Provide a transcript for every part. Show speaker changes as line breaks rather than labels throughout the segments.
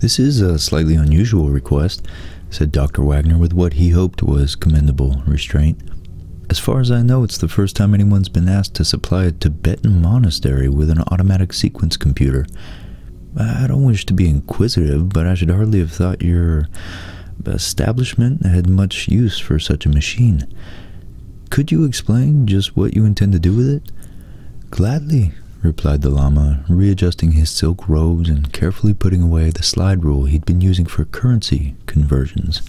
This is a slightly unusual request, said Dr. Wagner with what he hoped was commendable restraint. As far as I know, it's the first time anyone's been asked to supply a Tibetan monastery with an automatic sequence computer. I don't wish to be inquisitive, but I should hardly have thought your establishment had much use for such a machine. Could you explain just what you intend to do with it? Gladly, replied the Lama, readjusting his silk robes and carefully putting away the slide rule he'd been using for currency conversions.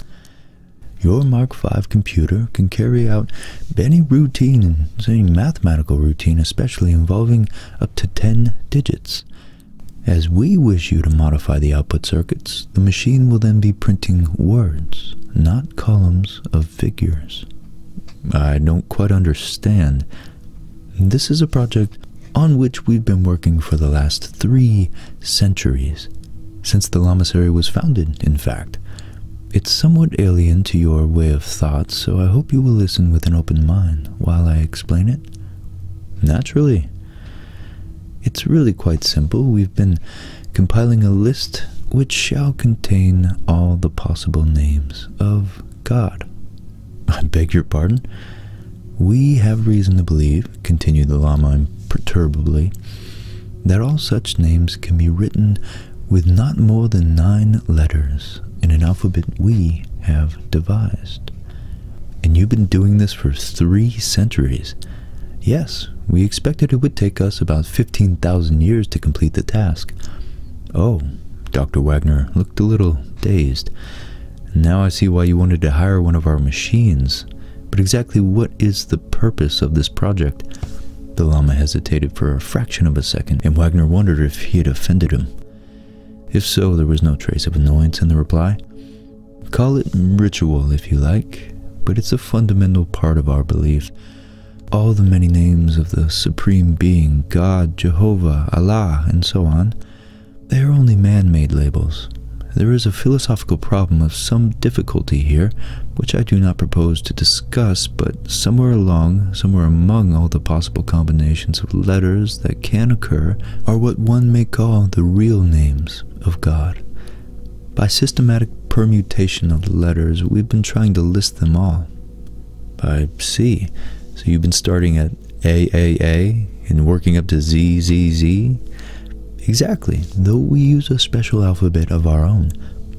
Your Mark V computer can carry out any routine any mathematical routine, especially involving up to 10 digits. As we wish you to modify the output circuits, the machine will then be printing words, not columns of figures. I don't quite understand. This is a project on which we've been working for the last three centuries, since the Lamasery was founded, in fact. It's somewhat alien to your way of thought, so I hope you will listen with an open mind while I explain it. Naturally. It's really quite simple. We've been compiling a list which shall contain all the possible names of God. I beg your pardon? We have reason to believe, continued the Lama imperturbably, that all such names can be written with not more than nine letters in an alphabet we have devised. And you've been doing this for three centuries. Yes, we expected it would take us about 15,000 years to complete the task. Oh, Dr. Wagner looked a little dazed. Now I see why you wanted to hire one of our machines. But exactly what is the purpose of this project? The lama hesitated for a fraction of a second, and Wagner wondered if he had offended him. If so, there was no trace of annoyance in the reply. Call it ritual if you like, but it's a fundamental part of our belief. All the many names of the Supreme Being, God, Jehovah, Allah, and so on, they are only man-made labels. There is a philosophical problem of some difficulty here, which I do not propose to discuss, but but somewhere along, somewhere among all the possible combinations of letters that can occur, are what one may call the real names of God. By systematic permutation of the letters, we've been trying to list them all. I see. so you've been starting at AAA and working up to ZZZ. Exactly, though we use a special alphabet of our own,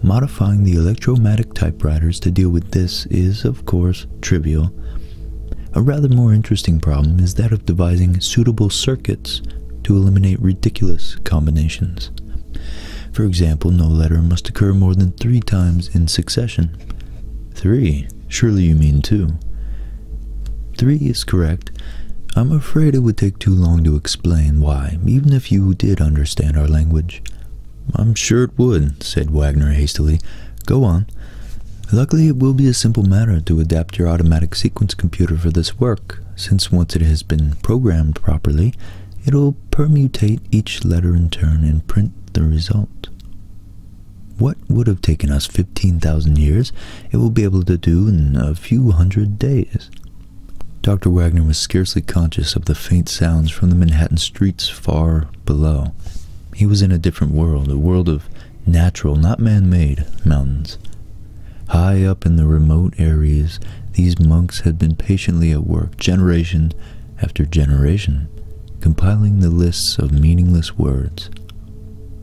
Modifying the electromatic typewriters to deal with this is, of course, trivial. A rather more interesting problem is that of devising suitable circuits to eliminate ridiculous combinations. For example, no letter must occur more than three times in succession. Three? Surely you mean two. Three is correct. I'm afraid it would take too long to explain why, even if you did understand our language. I'm sure it would, said Wagner hastily. Go on. Luckily, it will be a simple matter to adapt your automatic sequence computer for this work, since once it has been programmed properly, it'll permutate each letter in turn and print the result. What would have taken us 15,000 years, it will be able to do in a few hundred days. Dr. Wagner was scarcely conscious of the faint sounds from the Manhattan streets far below. He was in a different world, a world of natural, not man-made, mountains. High up in the remote areas, these monks had been patiently at work, generation after generation, compiling the lists of meaningless words.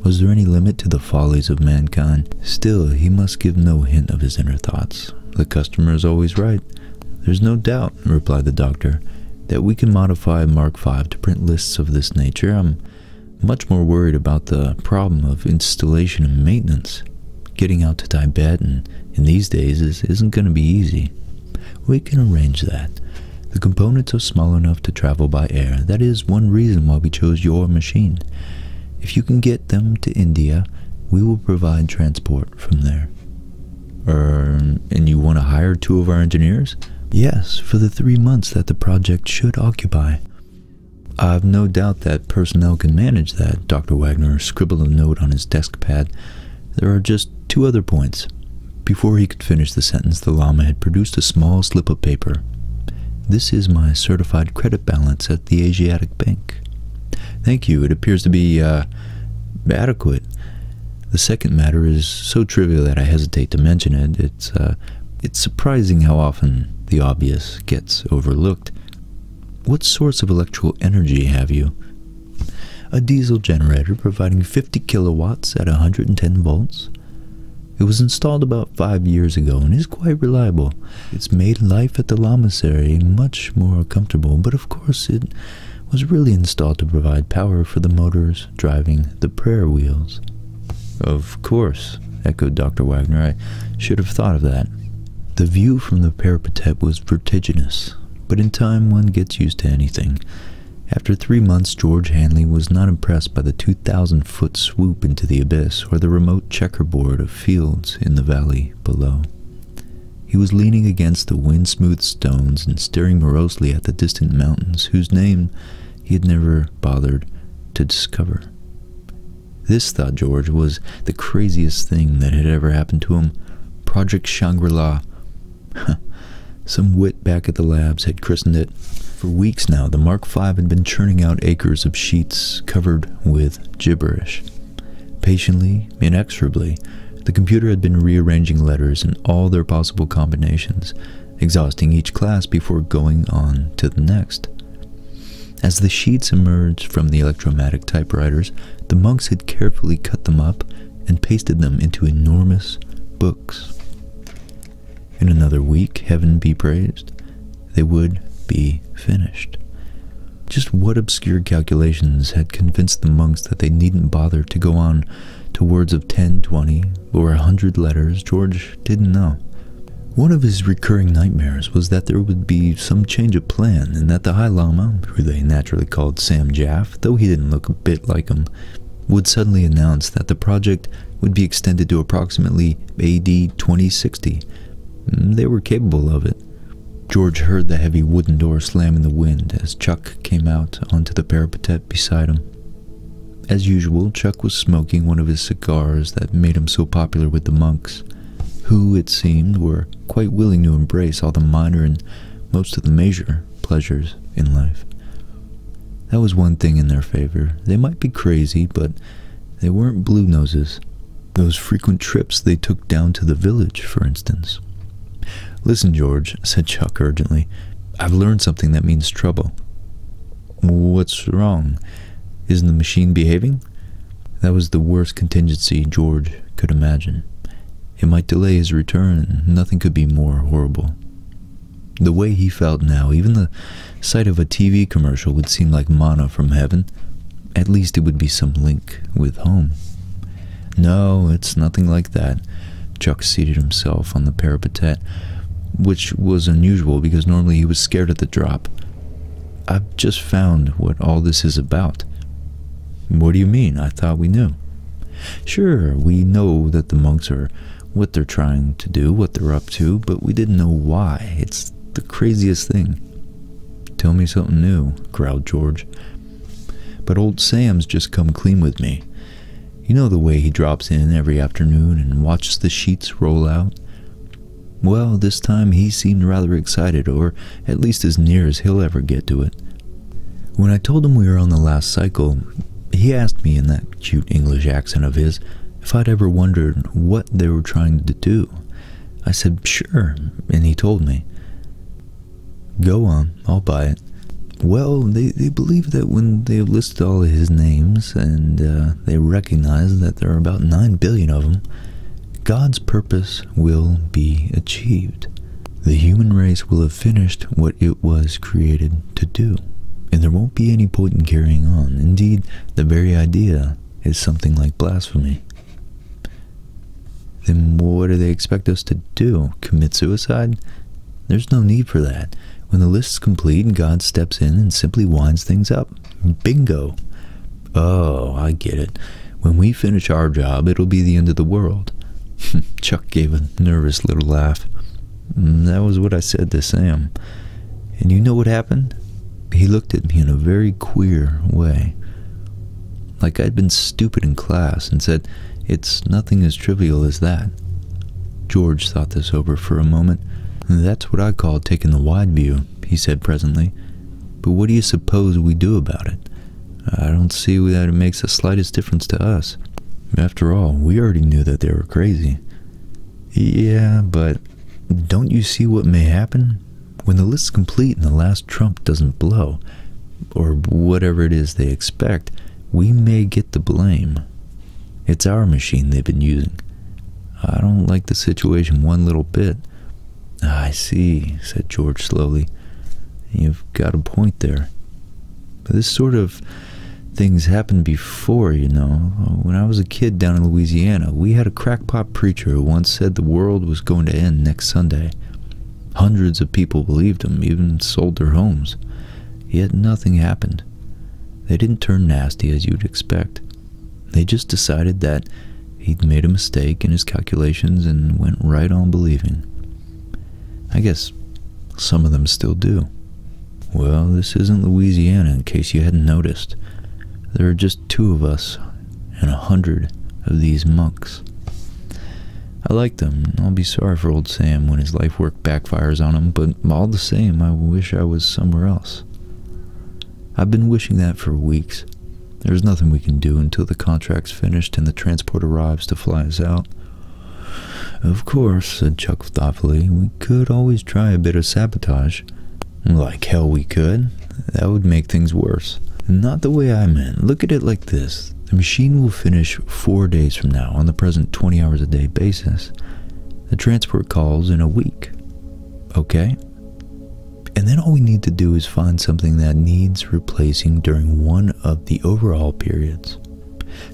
Was there any limit to the follies of mankind? Still, he must give no hint of his inner thoughts. The customer is always right. There's no doubt, replied the doctor, that we can modify Mark V to print lists of this nature. I'm much more worried about the problem of installation and maintenance. Getting out to Tibet and in these days isn't going to be easy. We can arrange that. The components are small enough to travel by air. That is one reason why we chose your machine. If you can get them to India, we will provide transport from there? and you want to hire two of our engineers? Yes, for the three months that the project should occupy. I've no doubt that personnel can manage that, Dr. Wagner scribbled a note on his desk pad. There are just two other points. Before he could finish the sentence, the Lama had produced a small slip of paper. This is my certified credit balance at the Asiatic Bank. Thank you. It appears to be uh, adequate. The second matter is so trivial that I hesitate to mention it. It's, uh, it's surprising how often the obvious gets overlooked. What source of electrical energy have you? A diesel generator providing 50 kilowatts at a 110 volts. It was installed about five years ago and is quite reliable. It's made life at the Lamasery much more comfortable, but of course it was really installed to provide power for the motors driving the prayer wheels. Of course, echoed Dr. Wagner, I should have thought of that. The view from the parapet was vertiginous, but in time one gets used to anything. After three months, George Hanley was not impressed by the 2,000 foot swoop into the abyss or the remote checkerboard of fields in the valley below. He was leaning against the wind smoothed stones and staring morosely at the distant mountains whose name he had never bothered to discover. This, thought George, was the craziest thing that had ever happened to him. Project Shangri-La. Some wit back at the labs had christened it. For weeks now, the Mark Five had been churning out acres of sheets covered with gibberish. Patiently, inexorably, the computer had been rearranging letters in all their possible combinations, exhausting each class before going on to the next. As the sheets emerged from the electromatic typewriters, the monks had carefully cut them up and pasted them into enormous books. In another week, heaven be praised, they would be finished. Just what obscure calculations had convinced the monks that they needn't bother to go on to words of ten, twenty, or a hundred letters, George didn't know. One of his recurring nightmares was that there would be some change of plan and that the High Lama, who they naturally called Sam Jaff, though he didn't look a bit like him, would suddenly announce that the project would be extended to approximately AD 2060. Mm, they were capable of it, George heard the heavy wooden door slam in the wind as Chuck came out onto the parapet beside him. As usual, Chuck was smoking one of his cigars that made him so popular with the monks, who, it seemed, were quite willing to embrace all the minor and most of the major pleasures in life. That was one thing in their favor. They might be crazy, but they weren't blue noses, those frequent trips they took down to the village, for instance. Listen, George, said Chuck urgently. I've learned something that means trouble. What's wrong? Isn't the machine behaving? That was the worst contingency George could imagine. It might delay his return, nothing could be more horrible. The way he felt now, even the sight of a TV commercial would seem like mana from heaven at least it would be some link with home. No, it's nothing like that. Chuck seated himself on the parapet, which was unusual because normally he was scared at the drop. I've just found what all this is about. What do you mean? I thought we knew. Sure, we know that the monks are what they're trying to do, what they're up to, but we didn't know why. It's the craziest thing. Tell me something new, growled George. But old Sam's just come clean with me. You know the way he drops in every afternoon and watches the sheets roll out? Well, this time he seemed rather excited, or at least as near as he'll ever get to it. When I told him we were on the last cycle, he asked me in that cute English accent of his if I'd ever wondered what they were trying to do. I said, sure, and he told me. Go on, I'll buy it. Well, they, they believe that when they have listed all his names and uh, they recognize that there are about 9 billion of them, God's purpose will be achieved. The human race will have finished what it was created to do, and there won't be any point in carrying on. Indeed, the very idea is something like blasphemy. Then what do they expect us to do? Commit suicide? There's no need for that. When the list's complete, God steps in and simply winds things up. Bingo! Oh, I get it. When we finish our job, it'll be the end of the world. Chuck gave a nervous little laugh. Mm, that was what I said to Sam. And you know what happened? He looked at me in a very queer way like I'd been stupid in class and said, It's nothing as trivial as that. George thought this over for a moment. That's what I call taking the wide view, he said presently. But what do you suppose we do about it? I don't see that it makes the slightest difference to us. After all, we already knew that they were crazy. Yeah, but don't you see what may happen? When the list's complete and the last trump doesn't blow, or whatever it is they expect, we may get the blame. It's our machine they've been using. I don't like the situation one little bit. I see, said George slowly. You've got a point there. But this sort of thing's happened before, you know. When I was a kid down in Louisiana, we had a crackpot preacher who once said the world was going to end next Sunday. Hundreds of people believed him, even sold their homes. Yet nothing happened. They didn't turn nasty as you'd expect. They just decided that he'd made a mistake in his calculations and went right on believing. I guess some of them still do. Well, this isn't Louisiana, in case you hadn't noticed. There are just two of us and a hundred of these monks. I like them, I'll be sorry for old Sam when his life work backfires on him, but all the same, I wish I was somewhere else. I've been wishing that for weeks. There's nothing we can do until the contract's finished and the transport arrives to fly us out. Of course, said Chuck thoughtfully, we could always try a bit of sabotage. Like hell we could, that would make things worse. Not the way I meant. Look at it like this. The machine will finish four days from now on the present 20 hours a day basis. The transport calls in a week. Okay? And then all we need to do is find something that needs replacing during one of the overhaul periods.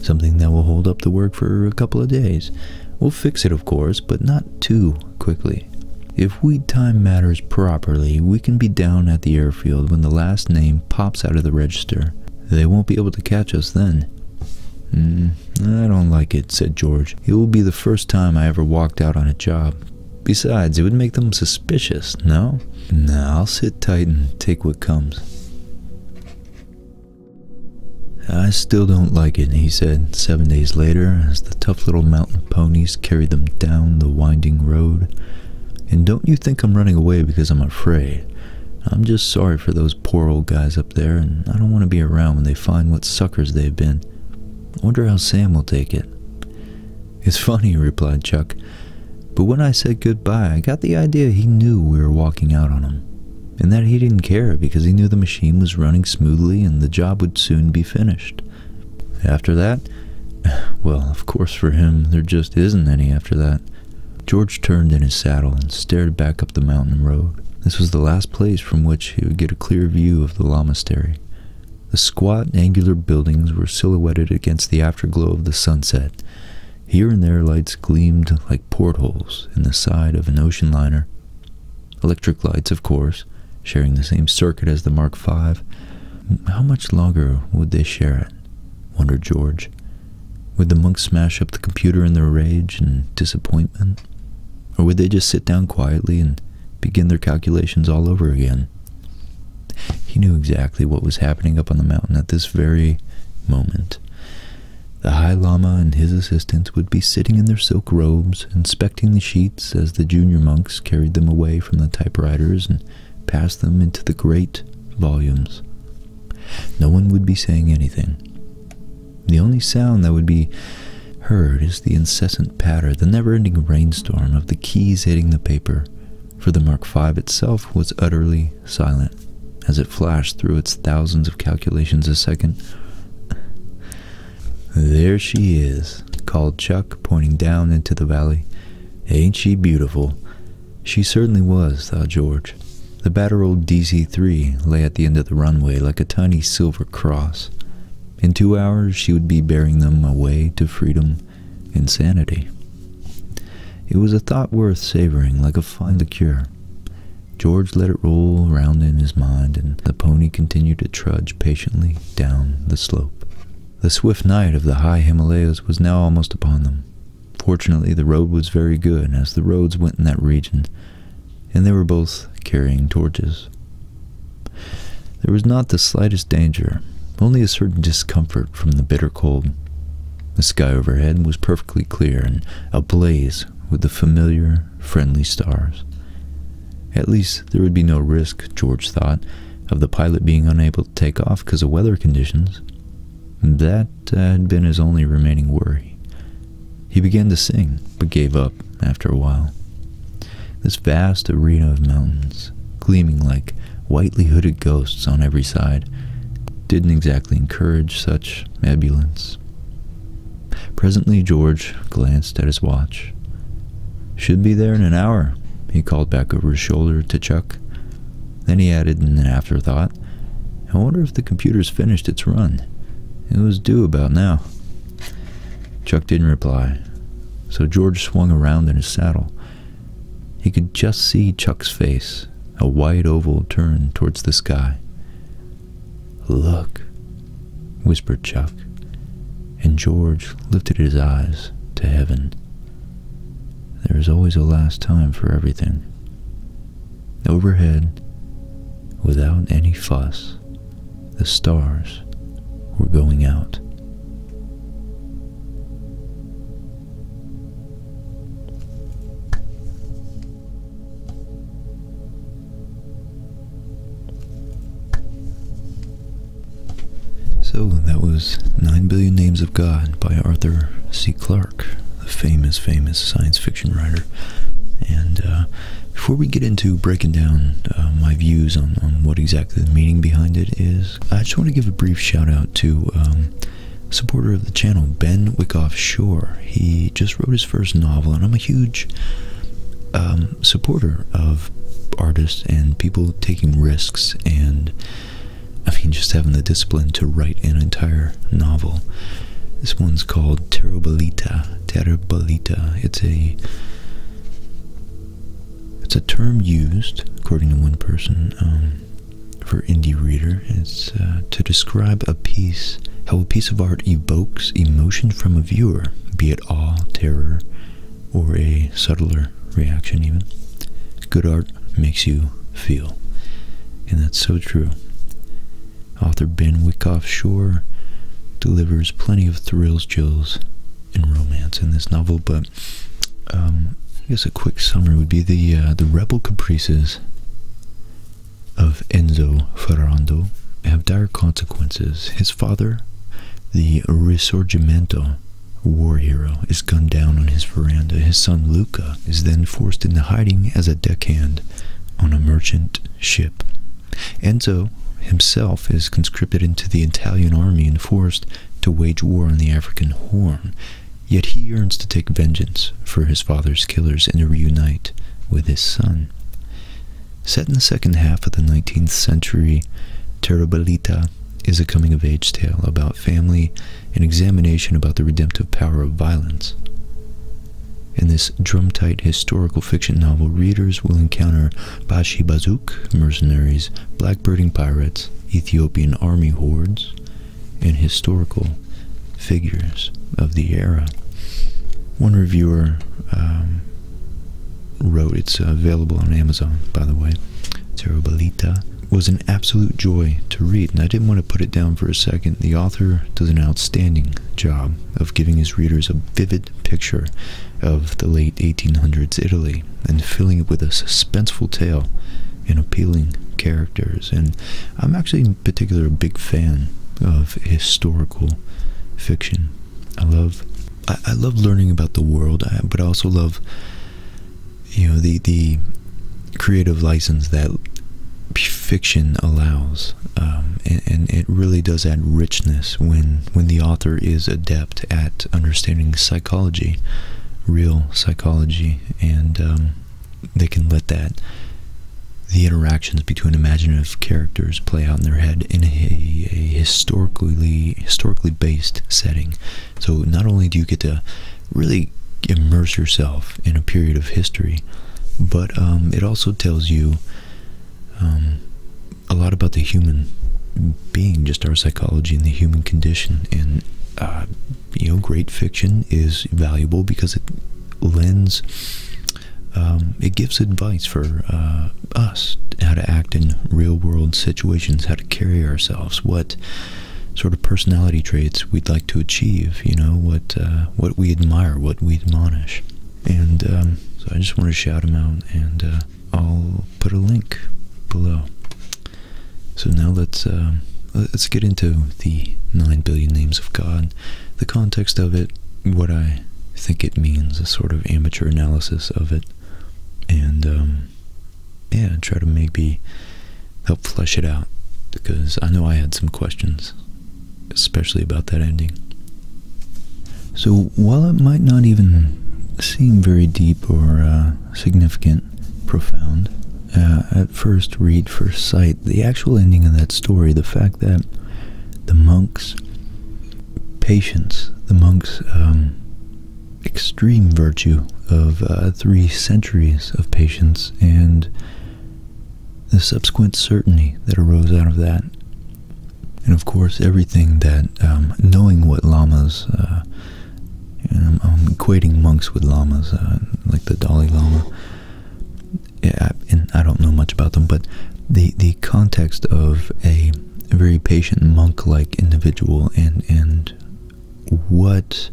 Something that will hold up the work for a couple of days. We'll fix it, of course, but not too quickly. If we time matters properly, we can be down at the airport Field when the last name pops out of the register. They won't be able to catch us then. Mm, I don't like it, said George. It will be the first time I ever walked out on a job. Besides, it would make them suspicious, no? No. I'll sit tight and take what comes. I still don't like it, he said seven days later as the tough little mountain ponies carried them down the winding road. And don't you think I'm running away because I'm afraid. I'm just sorry for those poor old guys up there, and I don't want to be around when they find what suckers they've been. I wonder how Sam will take it. It's funny, replied Chuck, but when I said good-bye, I got the idea he knew we were walking out on him, and that he didn't care because he knew the machine was running smoothly and the job would soon be finished. After that? Well, of course, for him, there just isn't any after that. George turned in his saddle and stared back up the mountain road. This was the last place from which he would get a clear view of the Lamastery. The squat, angular buildings were silhouetted against the afterglow of the sunset. Here and there lights gleamed like portholes in the side of an ocean liner. Electric lights, of course, sharing the same circuit as the Mark Five. How much longer would they share it? wondered George. Would the monks smash up the computer in their rage and disappointment? Or would they just sit down quietly and begin their calculations all over again? He knew exactly what was happening up on the mountain at this very moment. The High Lama and his assistants would be sitting in their silk robes, inspecting the sheets as the junior monks carried them away from the typewriters and pass them into the great volumes. No one would be saying anything. The only sound that would be heard is the incessant patter, the never-ending rainstorm of the keys hitting the paper, for the Mark V itself was utterly silent as it flashed through its thousands of calculations a second. There she is, called Chuck, pointing down into the valley. Ain't she beautiful? She certainly was, thought George. The battered old DC-3 lay at the end of the runway like a tiny silver cross. In two hours she would be bearing them away to freedom and sanity. It was a thought worth savoring like a fine liqueur. George let it roll round in his mind, and the pony continued to trudge patiently down the slope. The swift night of the high Himalayas was now almost upon them. Fortunately, the road was very good, as the roads went in that region, and they were both carrying torches. There was not the slightest danger, only a certain discomfort from the bitter cold. The sky overhead was perfectly clear and ablaze with the familiar, friendly stars. At least there would be no risk, George thought, of the pilot being unable take off because of weather conditions. That uh, had been his only remaining worry. He began to sing, but gave up after a while. This vast arena of mountains, gleaming like whitely hooded ghosts on every side, didn't exactly encourage such ebullience. Presently, George glanced at his watch. Should be there in an hour, he called back over his shoulder to Chuck. Then he added in an afterthought, I wonder if the computer's finished its run. It was due about now. Chuck didn't reply, so George swung around in his saddle. He could just see Chuck's face, a wide oval turned towards the sky. Look, whispered Chuck, and George lifted his eyes to heaven. There is always a last time for everything. Overhead, without any fuss, the stars were going out. So that was Nine Billion Names of God by Arthur C. Clarke, the famous, famous science fiction writer. And uh, before we get into breaking down uh, my views on, what exactly the meaning behind it is, I just want to give a brief shout out to um, supporter of the channel, Ben Wickoff Shore. He just wrote his first novel, and I'm a huge um, supporter of artists and people taking risks and I mean, just having the discipline to write an entire novel. This one's called Terribolita. Terribolita. It's a it's a term used, according to one person, um, for indie reader. It's uh, to describe a piece, how a piece of art evokes emotion from a viewer, be it awe, terror, or a subtler reaction even. Good art makes you feel. And that's so true. Author Ben Wyckoff Shore delivers plenty of thrills, chills, and romance in this novel, but um, I guess a quick summary would be the uh, the rebel caprices of Enzo Ferrando have dire consequences. His father, the Risorgimento, war hero is gunned down on his veranda. His son Luca is then forced into hiding as a deckhand on a merchant ship. Enzo himself is conscripted into the Italian army and forced to wage war on the African Horn, yet he yearns to take vengeance for his father's killers and reunite with his son. Set in the second half of the 19th century, Terrabilita is a coming of age tale about family, an examination about the redemptive power of violence. In this drum tight historical fiction novel, readers will encounter Bashi Bazook mercenaries, blackbirding pirates, Ethiopian army hordes, and historical figures of the era. One reviewer um, wrote, it's available on Amazon, by the way, Terobalita, was an absolute joy to read, and I didn't want to put it down for a second. The author does an outstanding job of giving his readers a vivid picture of the late 1800s Italy and filling it with a suspenseful tale and appealing characters. And I'm actually, in particular, a big fan of historical fiction. I love, I, love learning about the world, but I also love you know the the creative license that fiction allows um, and, it really does add richness when when the author is adept at understanding psychology real psychology and um, they can let that the interactions between imaginative characters play out in their head in a, a historically historically based setting so not only do you get to really immerse yourself in a period of history, but um, it also tells you um, a lot about the human being, just our psychology and the human condition. And uh, you know, great fiction is valuable because it lends. Um, it gives advice for uh, us how to act in real world situations, how to carry ourselves, what sort of personality traits we'd like to achieve, you know, what uh, what we admire, what we admonish. And um, so I just want to shout them out, and uh, I'll put a link below. So now let's um, let's get into the nine billion names of God, the context of it, what I think it means, a sort of amateur analysis of it, and um, and try to maybe help flesh it out because I know I had some questions, especially about that ending. So while it might not even seem very deep or uh, significant, profound, uh, at first read, first sight, the actual ending of that story, the fact that the monk's patience, the monk's um, extreme virtue of uh, three centuries of patience and the subsequent certainty that arose out of that. And of course, everything that um, knowing what lamas, uh, um, um, equating monks with lamas, uh, like the Dalai Lama. and I don't know much about them, but the the context of a very patient monk-like individual and and what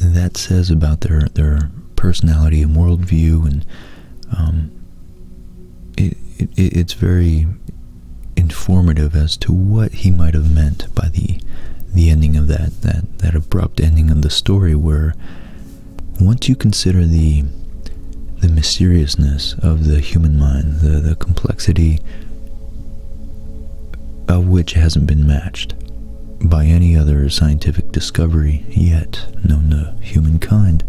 that says about their their personality and worldview, and um, it it's very informative as to what he might have meant by the the ending of that that that abrupt ending of the story, where once you consider the the mysteriousness of the human mind, the the complexity of which hasn't been matched by any other scientific discovery yet known to humankind.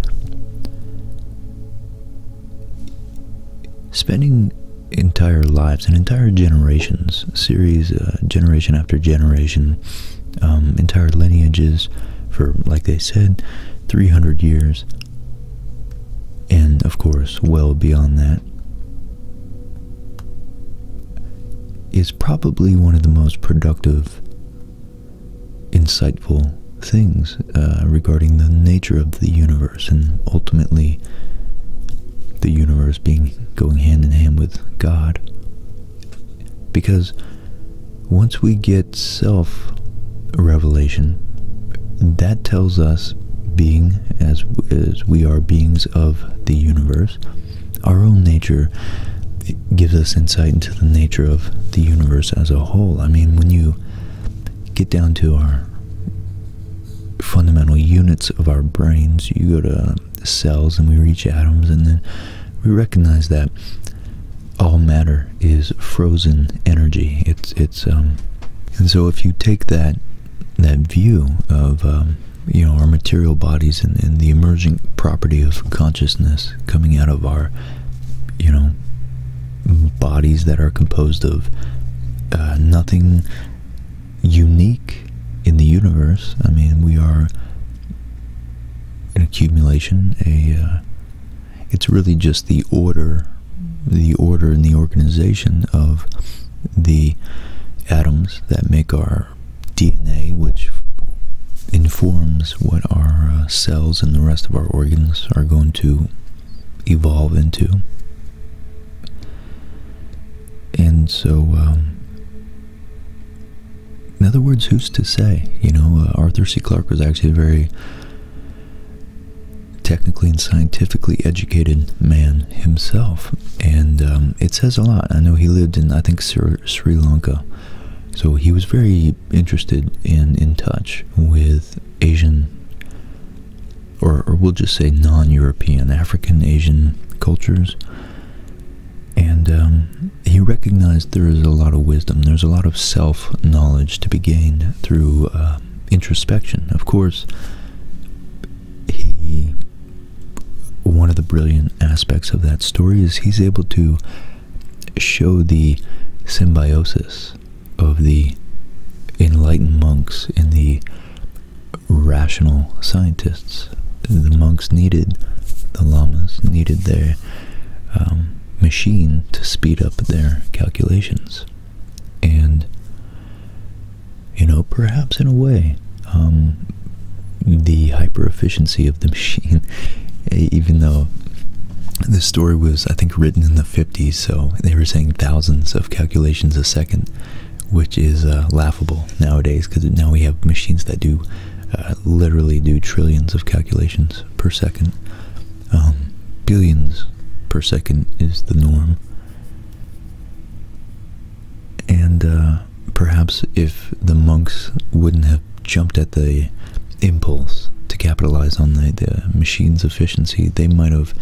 Spending entire lives and entire generations, series, uh, generation after generation, um, entire lineages for, like they said, 300 years, and of course, well beyond that, is probably one of the most productive, insightful things uh, regarding the nature of the universe and ultimately the universe being going hand in hand with God. Because once we get self revelation, that tells us being, as, as we are beings of the universe, our own nature gives us insight into the nature of the universe as a whole. I mean, when you get down to our fundamental units of our brains, you go to cells and we reach atoms, and then we recognize that all matter is frozen energy. It's it's um, and so if you take that that view of um, you know our material bodies and, the emerging property of consciousness coming out of our you know bodies that are composed of uh, nothing unique in the universe. I mean, we are an accumulation. A uh, it's really just the order, the order and the organization of the atoms that make our DNA, which informs what our uh, cells and the rest of our organs are going to evolve into. And so, um, in other words, who's to say? You know, uh, Arthur C. Clarke was actually a very technically and scientifically educated man himself, and um, it says a lot. I know he lived in, I think, Sri, Lanka, so he was very interested and in touch with Asian, or, we'll just say non-European, African, Asian cultures, and um, he recognized there is a lot of wisdom, there's a lot of self-knowledge to be gained through uh, introspection. Of course, he one of the brilliant aspects of that story is he's able to show the symbiosis of the enlightened monks and the rational scientists. The monks needed, the lamas needed their um, machine to speed up their calculations. And you know, perhaps in a way, um, the hyper efficiency of the machine, even though this story was, I think, written in the 50s, so they were saying thousands of calculations a second, which is uh, laughable nowadays because now we have machines that do uh, literally do trillions of calculations per second. Um, billions per second is the norm. And uh, perhaps if the monks wouldn't have jumped at the impulse to capitalize on the, the machine's efficiency, they might have,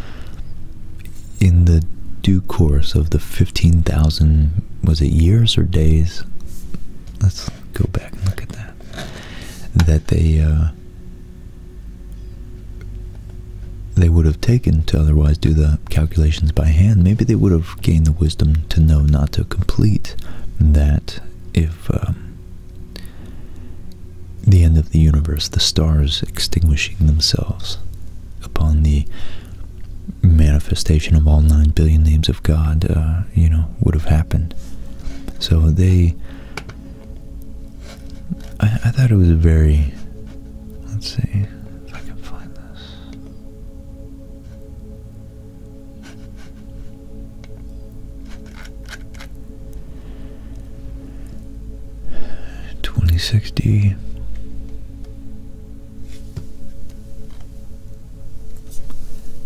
in the due course of the 15,000, was it years or days? Let's go back and look at that. That they uh, they would have taken to otherwise do the calculations by hand, maybe they would have gained the wisdom to know not to complete that if um, the end of the universe, the stars extinguishing themselves upon the manifestation of all nine billion names of God, uh, you know, would have happened. So they, I, I thought it was a very Let's see if I can find this. Twenty sixty.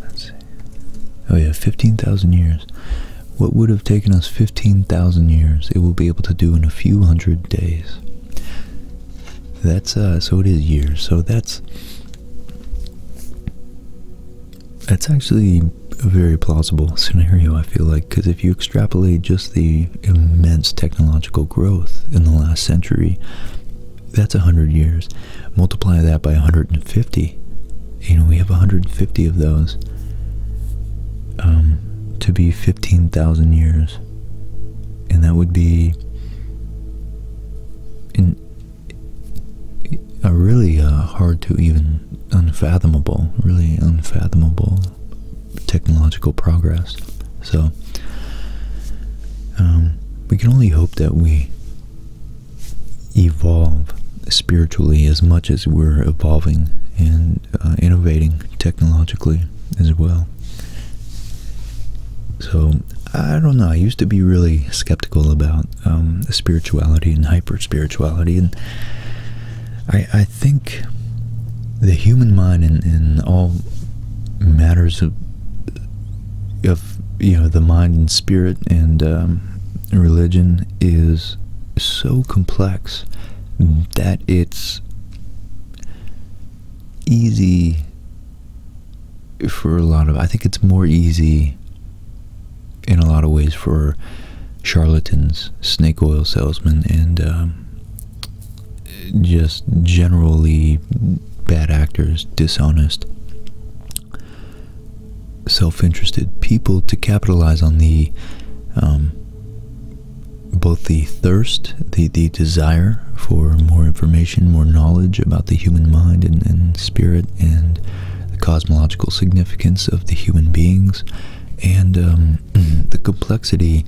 Let's see. Oh yeah, fifteen thousand years. What would have taken us fifteen thousand years, it will be able to do in a few hundred days. That's uh, so it is years. So that's that's actually a very plausible scenario. I feel like because if you extrapolate just the immense technological growth in the last century, that's a hundred years. Multiply that by 150. You know we have 150 of those um, to be 15,000 years and that would be a really uh, hard to even unfathomable, really unfathomable technological progress. So um, we can only hope that we evolve spiritually as much as we're evolving and uh, innovating technologically as well. So I don't know. I used to be really skeptical about um, spirituality and hyper spirituality, and I I think the human mind in, in all matters of of you know the mind and spirit and um, religion is so complex that it's easy for a lot of. I think it's more easy in a lot of ways for charlatans, snake oil salesmen, and um, just generally bad actors, dishonest, self interested people to capitalize on the. Um, both the thirst, the, the desire for more information, more knowledge about the human mind and, and spirit and the cosmological significance of the human beings, and um, the complexity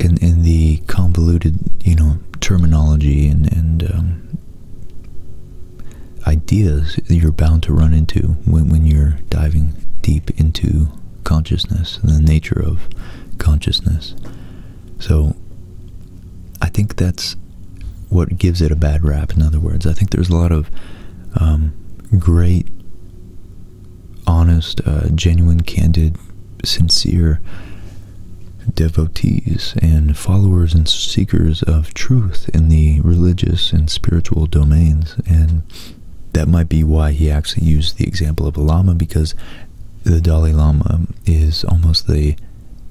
and, and the convoluted, you know, terminology and, and um, ideas that you're bound to run into when, when you're diving deep into consciousness and the nature of consciousness. So I think that's what gives it a bad rap. In other words, I think there's a lot of um, great, honest, uh, genuine, candid, sincere devotees and followers and seekers of truth in the religious and spiritual domains. And that might be why he actually used the example of a Lama because the Dalai Lama is almost the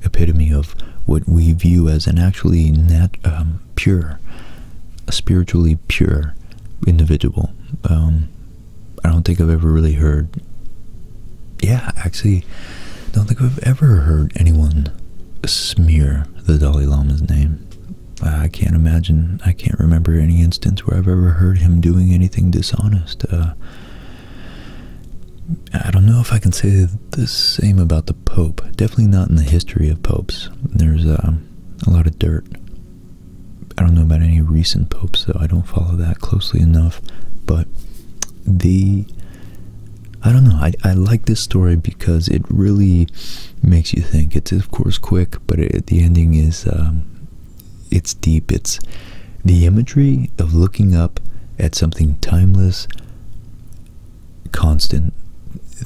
epitome of what we view as an actually nat um, pure, spiritually pure individual. Um, I don't think I've ever really heard, yeah, actually, don't think I've ever heard anyone smear the Dalai Lama's name. I can't imagine, I can't remember any instance where I've ever heard him doing anything dishonest. Uh, I don't know if I can say the same about the Pope. Definitely not in the history of popes. There's um, a lot of dirt. I don't know about any recent popes, though. I don't follow that closely enough. But the... I don't know. I, I like this story because it really makes you think. It's, of course, quick, but the ending is um, it's deep. It's the imagery of looking up at something timeless, constant,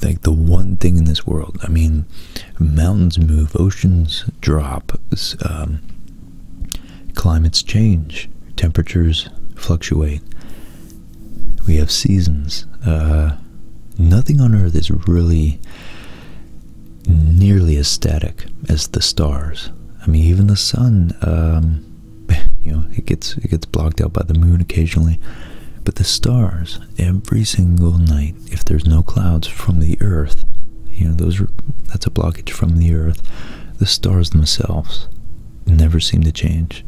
like the one thing in this world. I mean, mountains move, oceans drop, um, climates change, temperatures fluctuate. We have seasons. Uh, nothing on earth is really nearly as static as the stars. I mean, even the sun, um, you know, it gets it gets blocked out by the moon occasionally. But the stars, every single night, if there's no clouds from the Earth, you know, those are, that's a blockage from the Earth. The stars themselves never seem to change,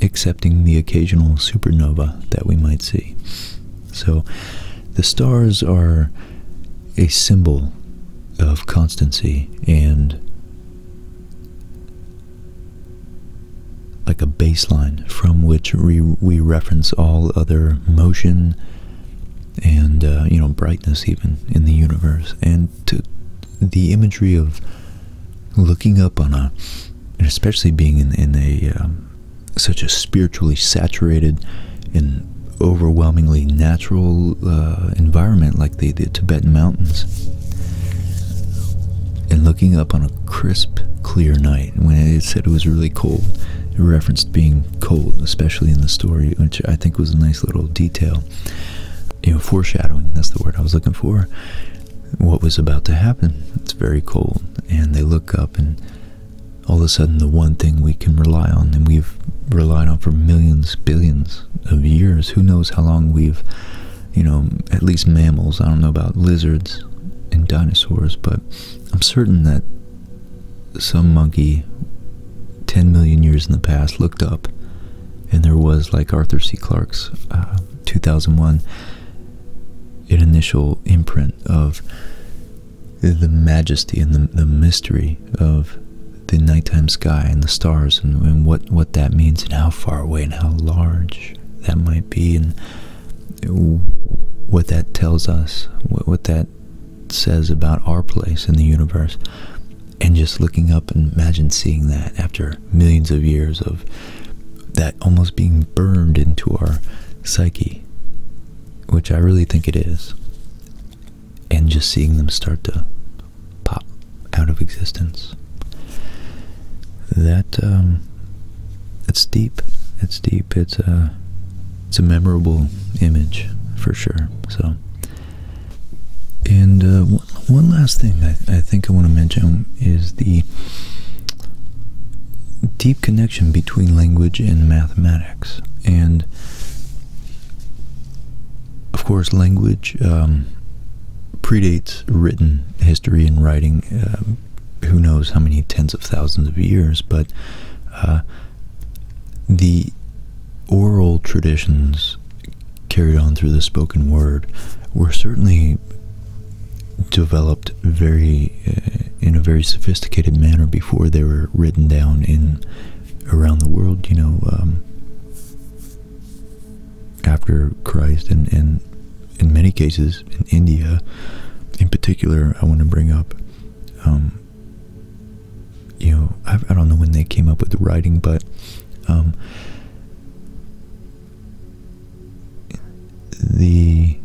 excepting the occasional supernova that we might see. So the stars are a symbol of constancy and like a baseline from which we, reference all other motion and uh, you know brightness even in the universe and to the imagery of looking up on a especially being in, a um, such a spiritually saturated and overwhelmingly natural uh, environment like the, Tibetan mountains. And looking up on a crisp, clear night when they said it was really cold, it referenced being cold, especially in the story, which I think was a nice little detail. You know, foreshadowing, that's the word I was looking for. What was about to happen. It's very cold. And they look up and all of a sudden the one thing we can rely on and we've relied on for millions, billions of years. Who knows how long we've, you know, at least mammals, I don't know about lizards and dinosaurs, but I'm certain that some monkey 10 million years in the past looked up and there was like Arthur C. Clarke's uh, 2001 an initial imprint of the majesty and the, mystery of the nighttime sky and the stars and, and what, what that means and how far away and how large that might be and what that tells us, what, what that says about our place in the universe. And just looking up and imagine seeing that after millions of years of that almost being burned into our psyche which I really think it is, and just seeing them start to pop out of existence. That um, it's deep. It's deep. It's a it's a memorable image for sure. So, and uh, one last thing I think I want to mention is the deep connection between language and mathematics. And of course, language um, predates written history and writing. Um, who knows how many tens of thousands of years, but uh, the oral traditions carried on through the spoken word were certainly developed very uh, in a very sophisticated manner before they were written down in around the world. You know, um, after Christ, and in many cases in India, in particular, I want to bring up. Um, you know, I, don't know when they came up with the writing, but um, the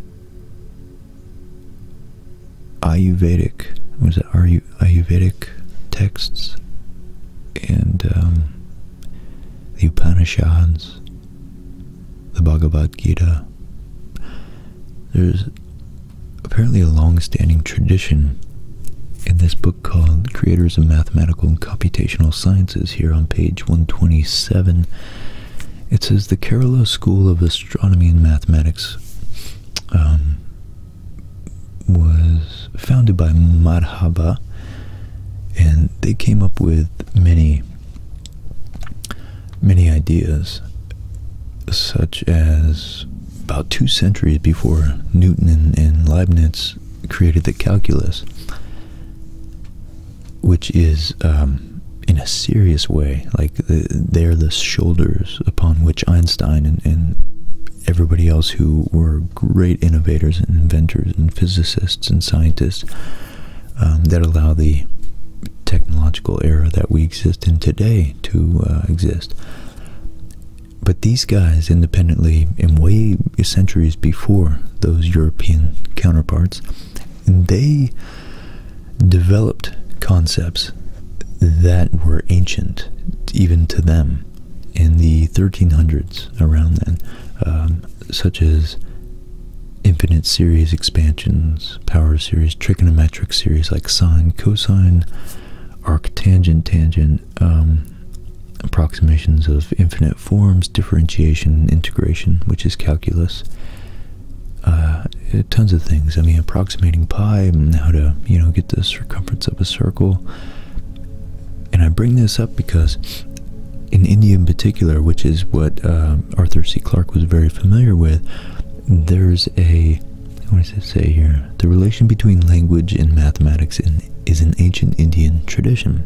Ayurvedic, was it Ayu Ayurvedic texts and um, the Upanishads, the Bhagavad Gita. There's apparently a long-standing tradition in this book called Creators of Mathematical and Computational Sciences here on page 127 it says the Kerala School of Astronomy and Mathematics um, was founded by Madhaba, and they came up with many, many ideas, such as about two centuries before Newton and Leibniz created the calculus which is um, in a serious way like they're the shoulders upon which Einstein and, everybody else who were great innovators and inventors and physicists and scientists um, that allow the technological era that we exist in today to uh, exist. But these guys, independently, in way centuries before those European counterparts, they developed concepts that were ancient even to them in the 1300s around then, um, such as infinite series expansions, power series, trigonometric series like sine, cosine, arctangent, tangent, um, approximations of infinite forms, differentiation, integration, which is calculus, uh, tons of things. I mean, approximating pi and how to, you know, get the circumference of a circle. And I bring this up because in India in particular, which is what uh, Arthur C. Clarke was very familiar with, there's a, what does it say here? The relation between language and mathematics is an ancient Indian tradition.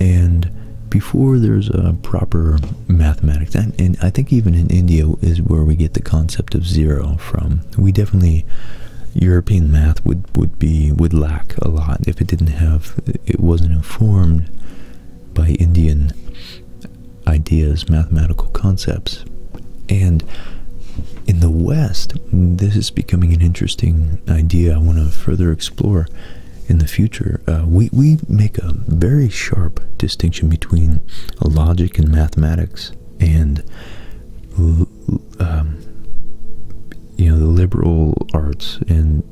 And before there's a proper mathematics and, i think even in india is where we get the concept of zero from we definitely european math would would be would lack a lot if it didn't have it wasn't informed by indian ideas mathematical concepts and in the west this is becoming an interesting idea i want to further explore in the future, uh, we, we make a very sharp distinction between logic and mathematics and, um, you know, the liberal arts and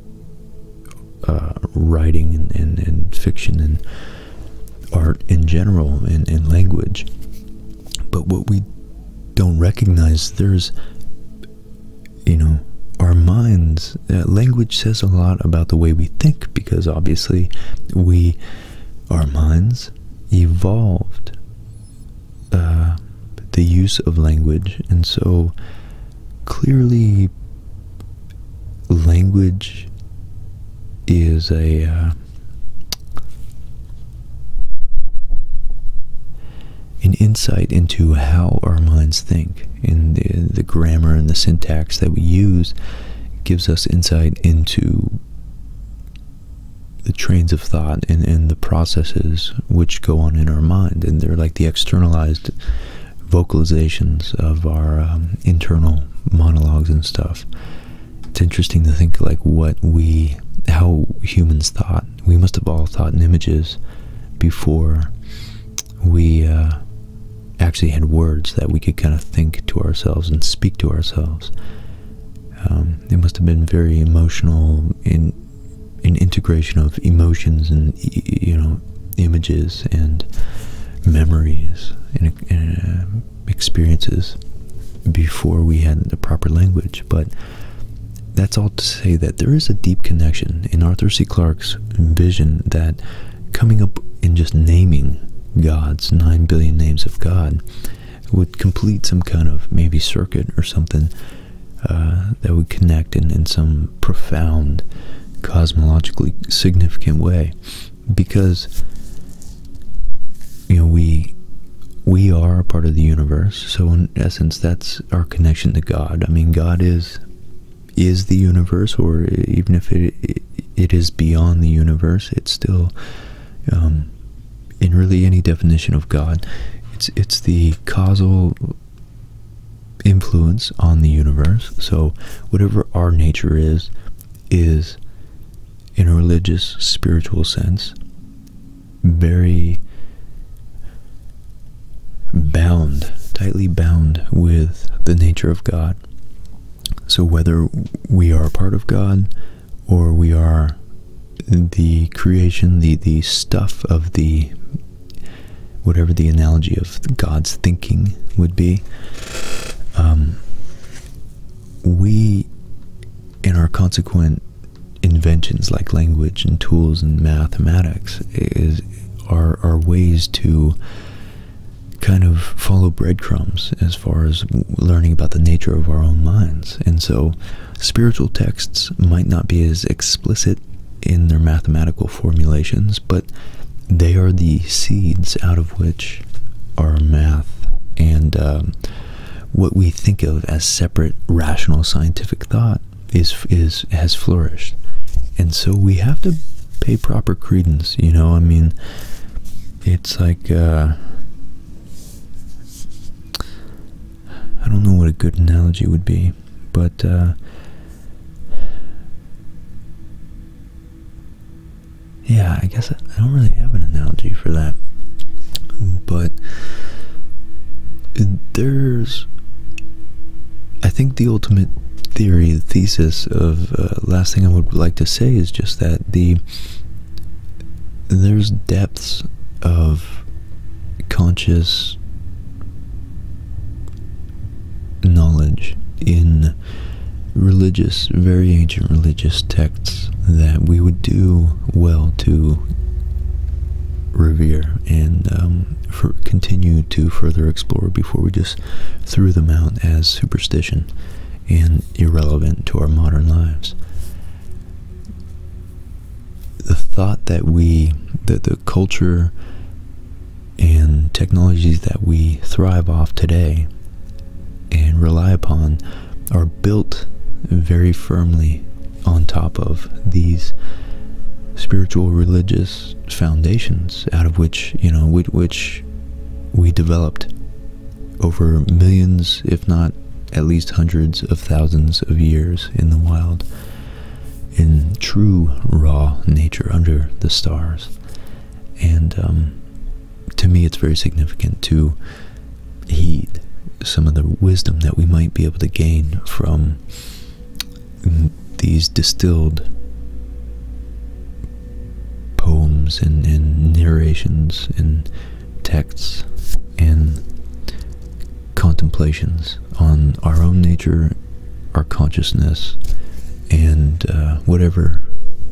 uh, writing and, and, fiction and art in general and, and language. But what we don't recognize, there's, you know, our minds uh, language says a lot about the way we think because obviously our minds evolved uh, the use of language and so clearly language is uh, an insight into how our minds think in the, the grammar and the syntax that we use gives us insight into the trains of thought and, the processes which go on in our mind. And they're like the externalized vocalizations of our um, internal monologues and stuff. It's interesting to think like what we, how humans thought. We must have all thought in images before we uh, actually had words that we could kind of think to ourselves and speak to ourselves. Um, it must have been very emotional in an integration of emotions and you know images and memories and, um, experiences before we had the proper language. But that's all to say that there is a deep connection in Arthur C. Clarke's vision that coming up and just naming gods, nine billion names of God, would complete some kind of maybe circuit or something uh, that would connect in, in some profound, cosmologically significant way, because you know we we are a part of the universe. So in essence, that's our connection to God. I mean, God is is the universe, or even if it it is beyond the universe, it's still, um, in really any definition of God, it's it's the causal influence on the universe. So whatever our nature is, is in a religious, spiritual sense, very bound, tightly bound with the nature of God so, whether we are a part of God or we are the creation, the, the stuff of the whatever the analogy of God's thinking would be, um, we, in our consequent inventions like language and tools and mathematics, is are, are ways to kind of follow breadcrumbs as far as learning about the nature of our own minds. And so spiritual texts might not be as explicit in their mathematical formulations, but they are the seeds out of which our math and um, what we think of as separate rational scientific thought is is has flourished. And so we have to pay proper credence, you know? I mean, it's like, uh, I don't know what a good analogy would be, but, uh, yeah, I guess I don't really have an analogy for that. But there's, I think the ultimate theory, the thesis of of uh, last thing I would like to say is just that the there's depths of conscious knowledge in religious, very ancient religious texts that we would do well to revere and um, continue to further explore before we just through threw them out as superstition and irrelevant to our modern lives. The thought that we, that the culture and technologies that we thrive off today and rely upon are built very firmly on top of these spiritual religious foundations out of which you know which, which we developed over millions, if not at least hundreds of thousands of years in the wild, in true raw nature under the stars. And um, to me, it's very significant to heed some of the wisdom that we might be able to gain from these distilled poems and, narrations and texts and contemplations on our own nature, our consciousness, and uh, whatever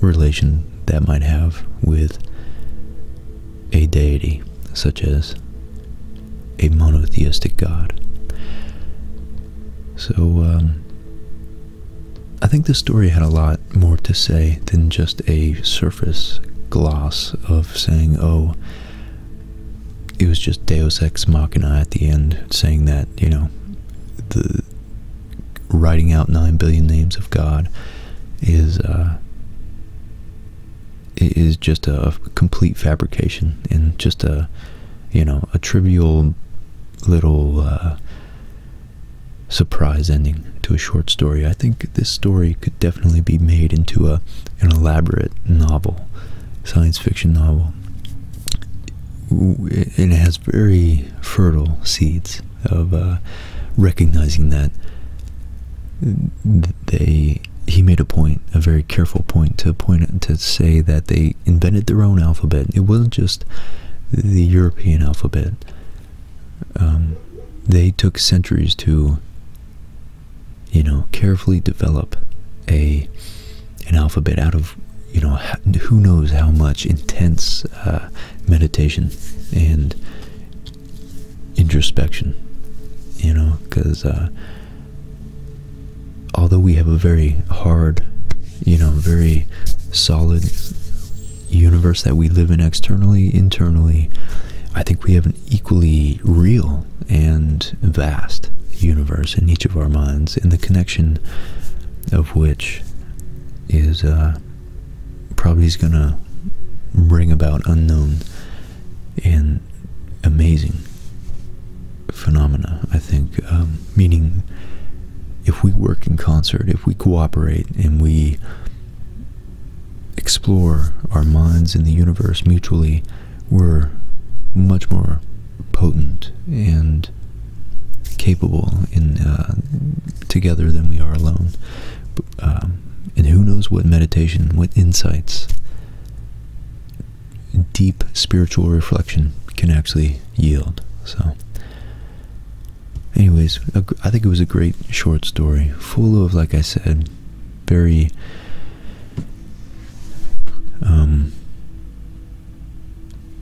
relation that might have with a deity, such as a monotheistic god. So, um, I think this story had a lot more to say than just a surface gloss of saying, oh, it was just Deus Ex Machina at the end, saying that, you know, the writing out nine billion names of God is, uh, is just a complete fabrication and just a, you know, a trivial little, uh, surprise ending to a short story. I think this story could definitely be made into a an elaborate novel, science fiction novel. And it has very fertile seeds of uh, recognizing that they he made a point, a very careful point to point to say that they invented their own alphabet. It wasn't just the European alphabet, um, they took centuries to, you know, carefully develop a an alphabet out of you know who knows how much intense uh, meditation and introspection. You know, because uh, although we have a very hard you know, very solid universe that we live in externally, internally, I think we have an equally real and vast universe in each of our minds, and the connection of which is uh, probably is going to bring about unknown and amazing phenomena. I think um, meaning if we work in concert, if we cooperate and we explore our minds in the universe mutually, we're much more potent and capable in uh, together than we are alone. Um, and who knows what meditation, what insights, deep spiritual reflection can actually yield. So Anyways, I think it was a great short story, full of, like I said, very um,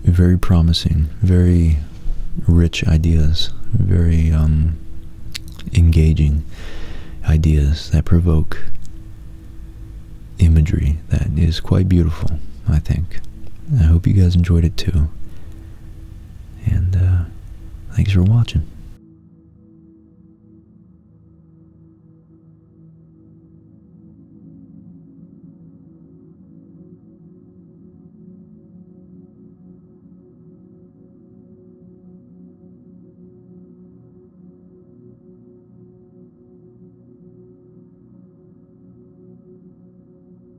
very promising, very rich ideas, very um, engaging ideas that provoke imagery that is quite beautiful, I think. I hope you guys enjoyed it too. And uh, thanks for watching.